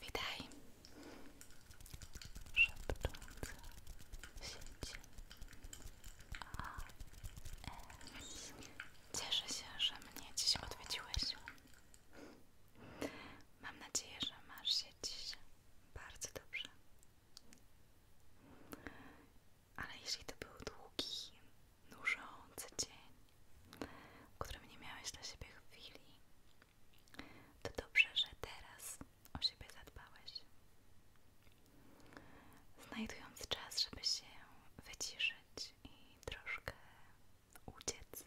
Witaj, szepcząca sieć AS. Cieszę się, że mnie dziś odwiedziłeś. Mam nadzieję, że masz się dziś bardzo dobrze. Ale jeśli to był długi nużący dzień, w którym nie miałeś dla siebie chwili, to dobrze, że teraz o siebie zadbałeś. Znajdując czas, żeby się wyciszyć i troszkę uciec.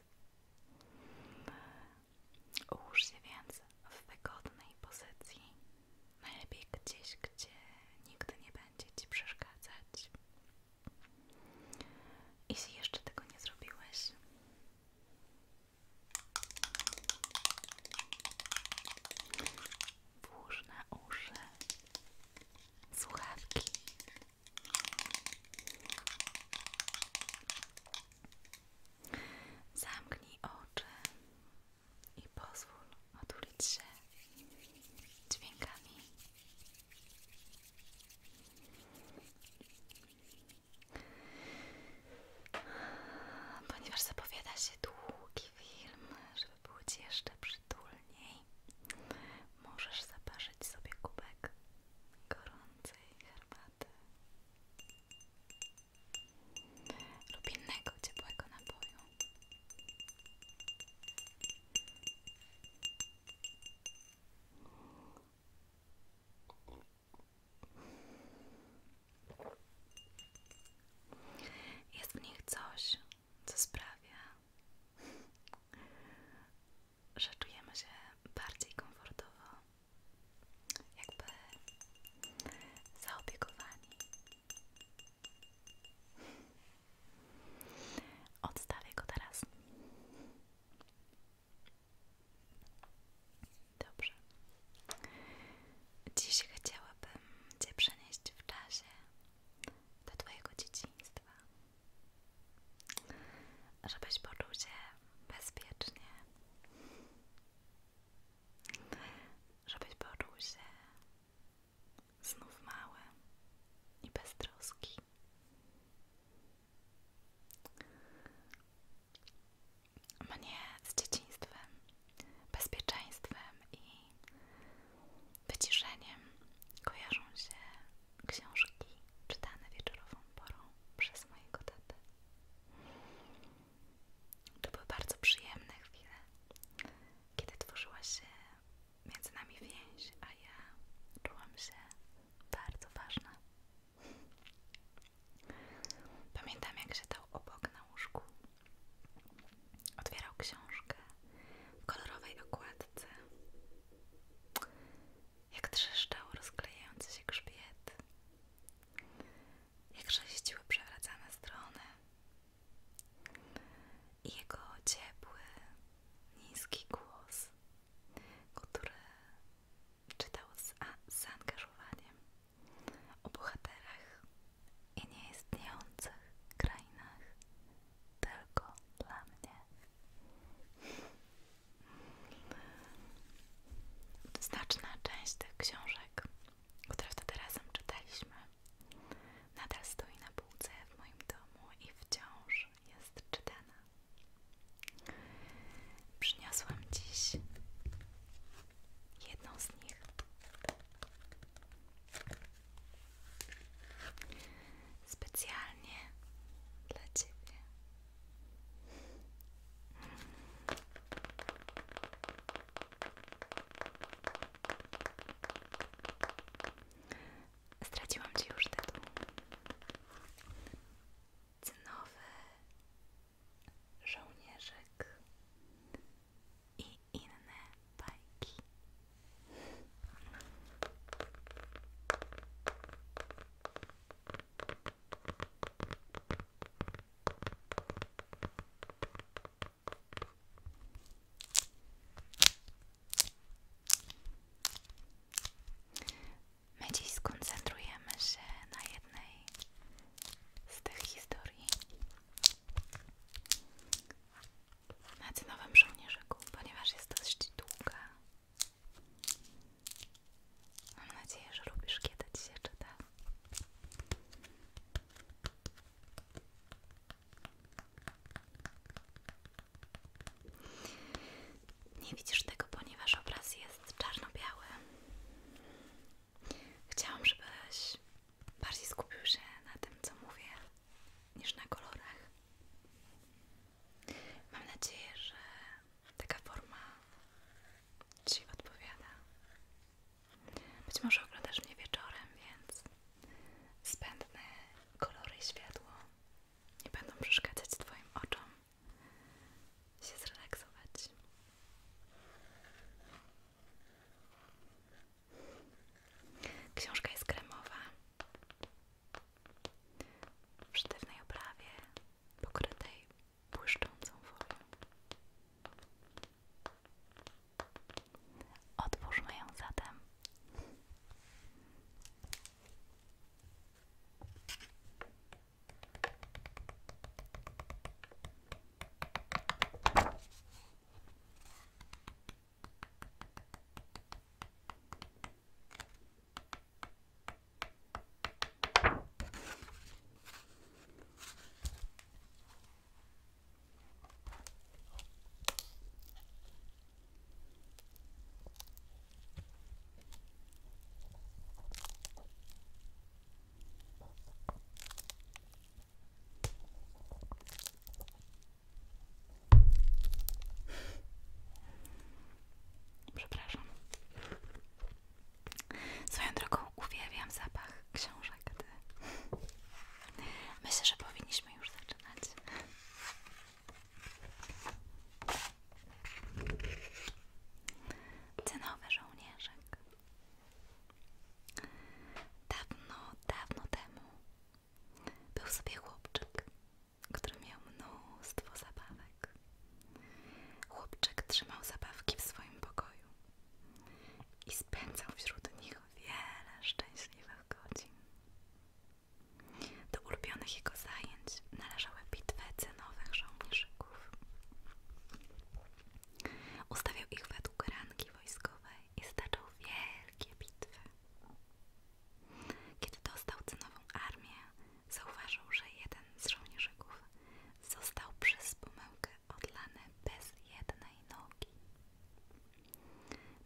Ułóż się więc w wygodnej pozycji, najlepiej gdzieś, gdzie nigdy nie będzie Ci przeszkadzać jeśli jeszcze tego nie zrobiłeś, włóż na uszy słuchawki. Zamknij oczy i pozwól otulić się dźwiękami Ponieważ zapowiada się długi film, żeby było jeszcze przytulniej, możesz zaparzyć sobie kubek gorącej herbaty lub innego ciepłego napoju. Jest w nich coś, co sprawia, że czujemy się bardziej komfortowo, jakby zaopiekowani. Odstawię go teraz. Dobrze. Dziś chciałabym Cię przenieść w czasie do Twojego dzieciństwa, żebyś poczuł się bezpiecznie, żebyś poczuł się znów małe i bez troski. Mnie z dzieciństwem, bezpieczeństwem i wyciszeniem kojarzą się książki czytane wieczorową porą przez mojego tatę. To były bardzo przyjemne chwile, kiedy tworzyła się między nami więź, a ja czułam się bardzo ważna. Pamiętam, jak siedział obok na łóżku. Otwierał książkę w kolorowej okładce. Jak trzeszczał rozklejający się grzbiet. Jak sześciły przewracane strony jego ciepły, niski głos, który czytał z zaangażowaniem o bohaterach i nieistniejących krainach tylko dla mnie. Znaczna część tych książek, które wtedy razem czytaliśmy, Nadal stoi na półce w moim domu i wciąż jest czytana. Przyniosłam dziś jedną z nich. Specjalnie dla Ciebie. Straciłam Ci już tytuł. Cynowy żołnierzyk i inne bajki. My dziś skoncentrujemy się na jednej z tych historii. Na Cynowym Żołnierzyku, ponieważ jest dość długa. Mam nadzieję, że lubisz, kiedy ci się czyta. Nie widzisz tego, ponieważ obraz jest czarno-biały. Chciałam, żebyś bardziej skupił się na tym, co mówię, niż na kolorach. Mam nadzieję, że taka forma Ci odpowiada. Być może oglądasz mnie wieczorem, więc zbędne kolory i światło nie będą przeszkadzać Twoim oczom się zrelaksować. Książka jest kremowa w sztywnej oprawie pokrytej błyszczącą folią. Otwórzmy ją zatem. Przepraszam. Swoją drogą uwielbiam zapach książek. Myślę, że powinniśmy już zacząć zaczynać. Cenowy żołnierzek. Dawno, dawno temu był sobie chłopczyk, który miał mnóstwo zabawek. Chłopczyk trzymał zabawki w swoim pokoju i spędzał wśród nich wiele szczęśliwych godzin. Do ulubionych jego zajęć należały bitwy cenowych żołnierzyków. Ustawiał ich według rangi wojskowej i staczał wielkie bitwy. Kiedy dostał cenową armię, zauważył, że jeden z żołnierzyków został przez pomyłkę odlany bez jednej nogi.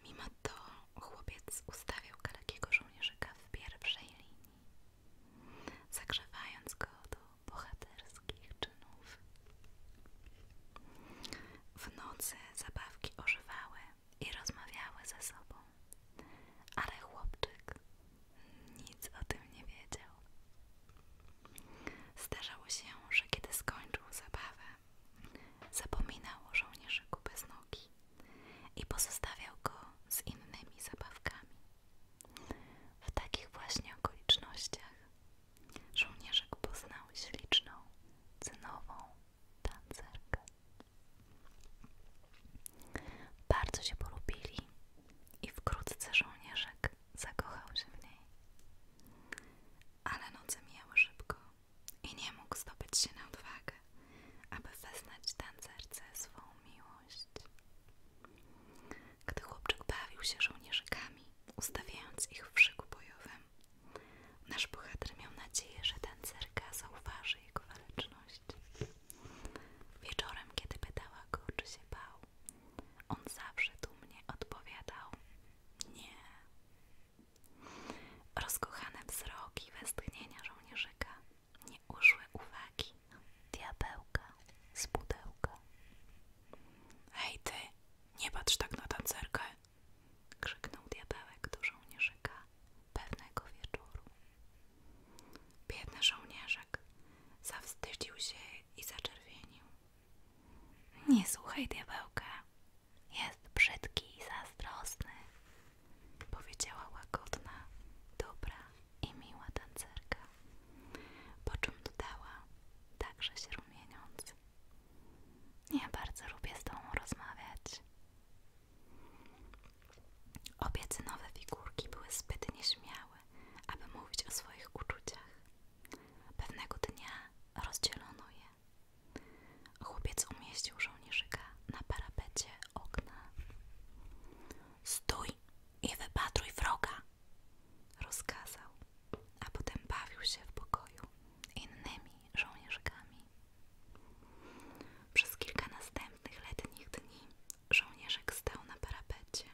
Mimo to chłopiec ustawił kalekiego żołnierzyka w pierwszej linii, zagrzewając go do bohaterskich czynów. W nocy zabawki ożywały i rozmawiały ze sobą, ale chłopczyk nic o tym nie wiedział. Zdarzało się, że kiedy skończył zabawę, Zapominał o żołnierzyku bez nogi i pozostawiał go z innymi zabawkami. W takich właśnie okolicznościach żołnierzek poznał śliczną, cynową tancerkę. Bardzo się polubili i wkrótce żołnierzek zakochał się w niej. Ale noce mijały szybko i nie mógł zdobyć się na odwagę, aby weznać tancerce swoją miłość. Gdy chłopczyk bawił się żołnierzykami, ustawiając ich w szyku bojowym, nasz bohater miał nadzieję, że tancerka zauważy jego waleczność. Wieczorem, kiedy pytała go, czy się bał, on zawsze dumnie odpowiadał: Nie, Rozkochane wzroki westchnienia żołnierzyka nie uszły uwagi diabełka z pudełka. Hej ty, nie patrz tak na tancerkę! krzyknął diabełek do żołnierzyka pewnego wieczoru. Biedny żołnierzek zawstydził się i zaczerwienił. Nie słuchaj diabełka, jest brzydki i zazdrosny, powiedziała łagodna, dobra i miła tancerka, po czym dodała, także się rumieniąc. Ja bardzo lubię z tobą rozmawiać. Obiecy nowe figurki były zbyt nieśmiałe, aby mówić o swoich uczuciach. Pewnego dnia rozdzielono je. Chłopiec umieścił żołnierzyka na parapecie okna. Stój i wypatruj wroga! rozkazał, a potem bawił się w pokoju innymi żołnierzykami. Przez kilka następnych letnich dni żołnierzek stał na parapecie.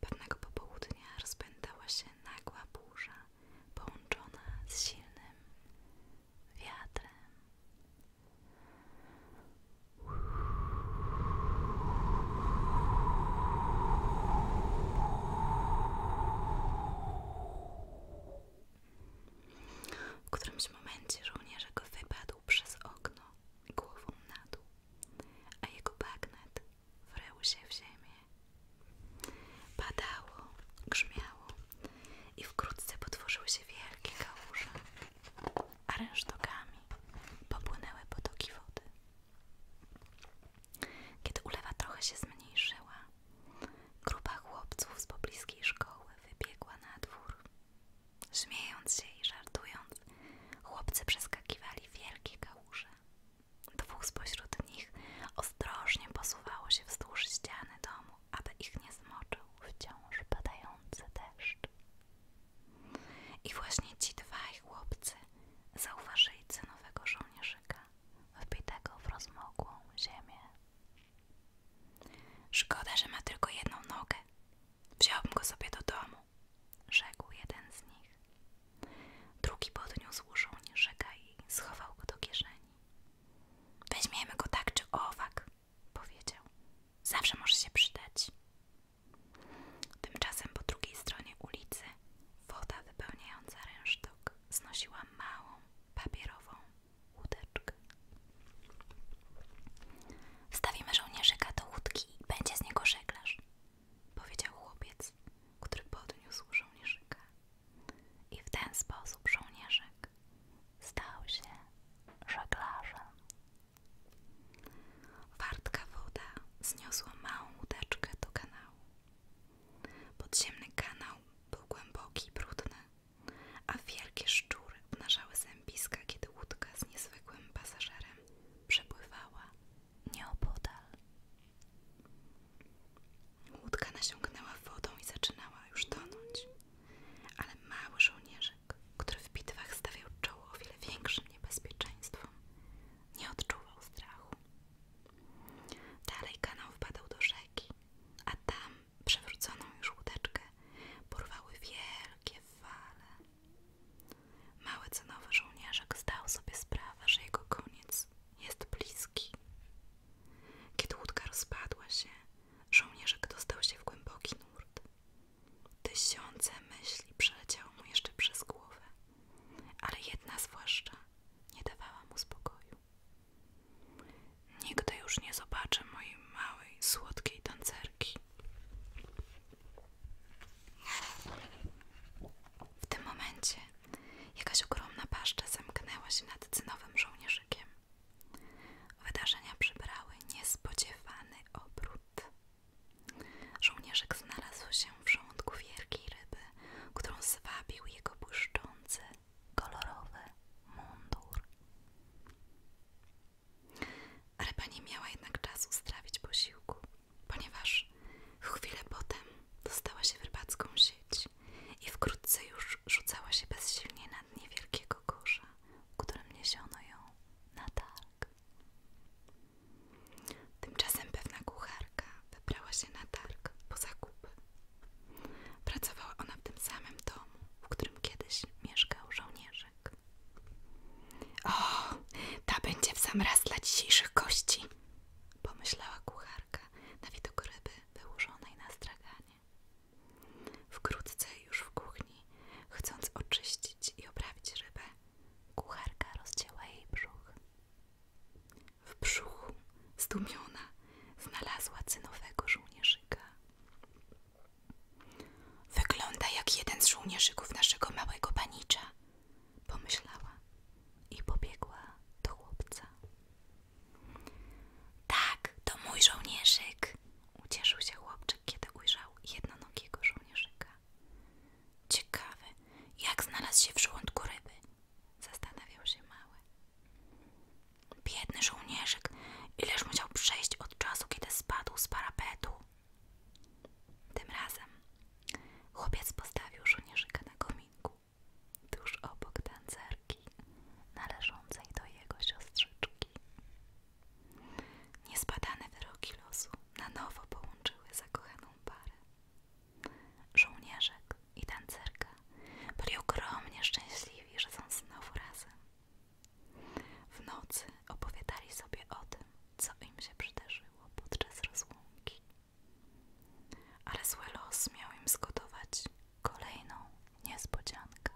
Pewnego popołudnia rozpętała się nagła burza połączona z silnym wiatrem. W którymś momencie żołnierzek wypadł przez okno głową na dół, a jego bagnet wrył się w ziemię. Padało, grzmiało i wkrótce potworzyły się wielkie kałuże, a rynsztokami popłynęły potoki wody. Kiedy ulewa trochę się zmniejszyła, grupa chłopców z pobliskiej szkoły wybiegła na dwór. Śmiejąc się i żartując, chłopcy przeskakiwali wielkie kałuże, Dwóch spośród nich ostrożnie posuwało się wzdłuż ściany domu, aby ich nie zmoczył wciąż padający deszcz. I właśnie ci dwaj chłopcy zauważyli cenowego żołnierzyka, wbitego w rozmokłą ziemię. Szkoda, że ma tylko jedną nogę. Wziąłbym go sobie do domu, rzekł jeden z nich. Drugi podniósł żołnierzyka i schował go do kieszeni. Weźmiemy go tak czy owak, powiedział. Zawsze może się przydać. Tymczasem po drugiej stronie ulicy woda wypełniająca rynsztok znosiła małą, papierową łódeczkę. Wstawimy żołnierzyka do łódki i będzie z niego żeglarz, powiedział chłopiec, który podniósł żołnierzyka. I w ten sposób żołnierzyk stał się żeglarzem. Wartka woda zniosła małą łódeczkę do kanału. Podziemny kanał był głęboki i brudny, a wielkie szczury obnażały zębiska, kiedy łódka z niezwykłym pasażerem przepływała nieopodal. Łódka nasiągnęła wodą i zaczynała już tonąć, ale mały żołnierzek który w bitwach stawiał czoło o wiele większym niebezpieczeństwom, nie odczuwał strachu. Dalej kanał wpadał do rzeki, a tam przewróconą już łódeczkę porwały wielkie fale. Mały cenowy żołnierzek zdał sobie sprawę, że jego koniec jest bliski. Kiedy łódka rozpadła się, żołnierzek dostał się w głęboki nurt. Tysiące myśli przeleciało mu jeszcze przez głowę, ale jedna zwłaszcza nie dawała mu spokoju. Nigdy już nie zobaczę mojej małej, słodkiej tancerki. W tym momencie jakaś ogromna paszcza zamknęła się nad cynowym żołnierzykiem. Wydarzenia przybrały niespodziewany obrót. Żołnierzyk znalazł się w żołądku wielkiej ryby, którą zwabił jego błyszczący, kolorowy mundur. Ryba nie miała jednak czasu strawić posiłku ponieważ w chwilę potem dostała się w rybacką sieć i wkrótce już rzucała się bezsilnie nad niewielkiego wielkiego którym niesiono ją na targ. Tymczasem pewna kucharka wybrała się na targ po zakupy. Pracowała ona w tym samym domu, w którym kiedyś mieszkał żołnierzek. O, ta będzie w sam raz dla dzisiejszych gości, pomyślała kucharka na widok ryby wyłożonej na straganie. Wkrótce już w kuchni, chcąc oczyścić i oprawić rybę, kucharka rozcięła jej brzuch. W brzuchu, zdumiona, znalazła cynowego żołnierzyka. Wygląda jak jeden z żołnierzyków naszego małego panicza, pomyślała i pobiegła do chłopca. Tak, to mój żołnierzyk! Ucieszył się chłopczyk, kiedy ujrzał jednonogiego żołnierzyka. Ciekawy, jak znalazł się w żołądku ryby, zastanawiał się mały. Biedny żołnierzyk, ileż musiał przejść od czasu, kiedy spadł z parapetu, tym razem chłopiec postawił żołnierzyka na kominku, tuż obok tancerki należącej do jego siostrzyczki. Niespadane wyroki losu na nowo połączyły zakochaną parę. Żołnierzek i tancerka byli ogromnie szczęśliwi, że są znowu razem. W nocy opowiadali sobie o tym, co im się przydarzyło podczas rozłąki. Ale zły los miał im zgotować kolejną niespodziankę.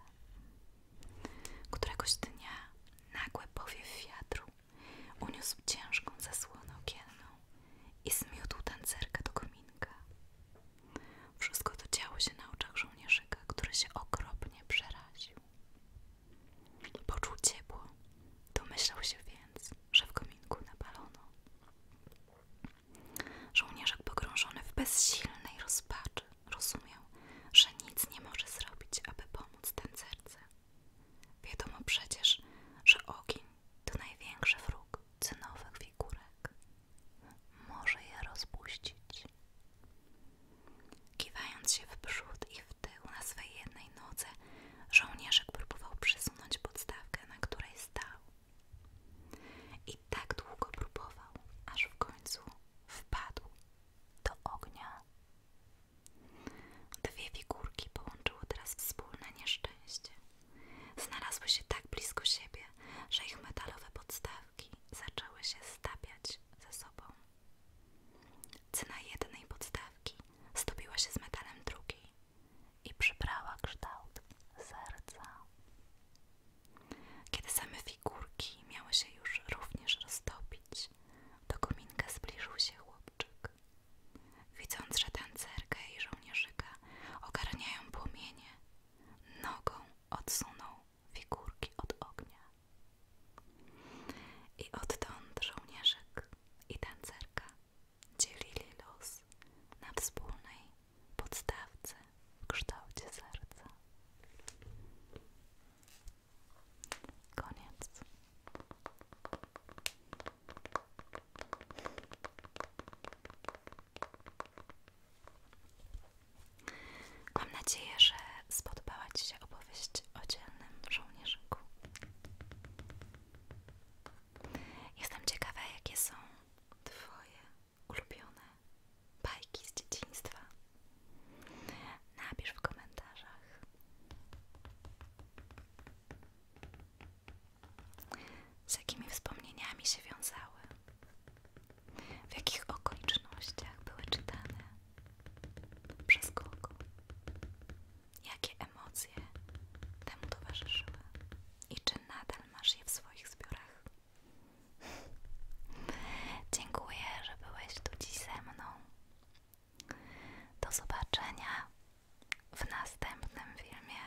Któregoś dnia nagły powiew wiatru uniósł ciężką zasłonę okienną i zmiótł tancerkę do kominka. Wszystko to działo się na oczach żołnierzyka, który się okropnie przeraził. Poczuł ciepło, domyślał się więc, że w kominku napalono. Żołnierzek pogrążony w bezsilnej rozpaczy rozumiał, że nic nie może zrobić, aby pomóc tancerce. Wiadomo przecież, że ogień to największy wróg cynowych figurek. Może je rozpuścić. Kiwając się w przód i w w tył na swej jednej nodze, żołnierzek próbował przesunąć podstawkę, na której stał. I tak długo próbował, aż w końcu wpadł do ognia. Dwie figurki połączyły teraz wspólne nieszczęście. Znalazły się tak blisko siebie, że ich metalowe podstawki zaczęły się stapiać ze sobą. Cena jednej podstawki stopiła się z metalem drugiej i przybrała kształt serca. Kiedy same figurki miały się już również roztopić, do kominka zbliżył się chłopczyk. Widząc, że tancerkę i żołnierzyka ogarniają płomienie, nogą odsunął figurki od ognia. I odtąd żołnierzyk i tancerka dzielili los na wspólnej podstawce w kształcie serca. Koniec. Mam nadzieję, że spodobała Ci się opowieść o dzielnym żołnierzu żołnierzyku. Jestem ciekawa, jakie są Twoje ulubione bajki z dzieciństwa. Napisz w komentarzach. Z jakimi wspomnieniami się wiązały? W jakich okolicznościach były czytane? Przez kogo? Jakie emocje temu towarzyszyły? I czy nadal masz je w swoich zbiorach? Dziękuję, że byłeś tu dziś ze mną. Do zobaczenia w następnym filmie.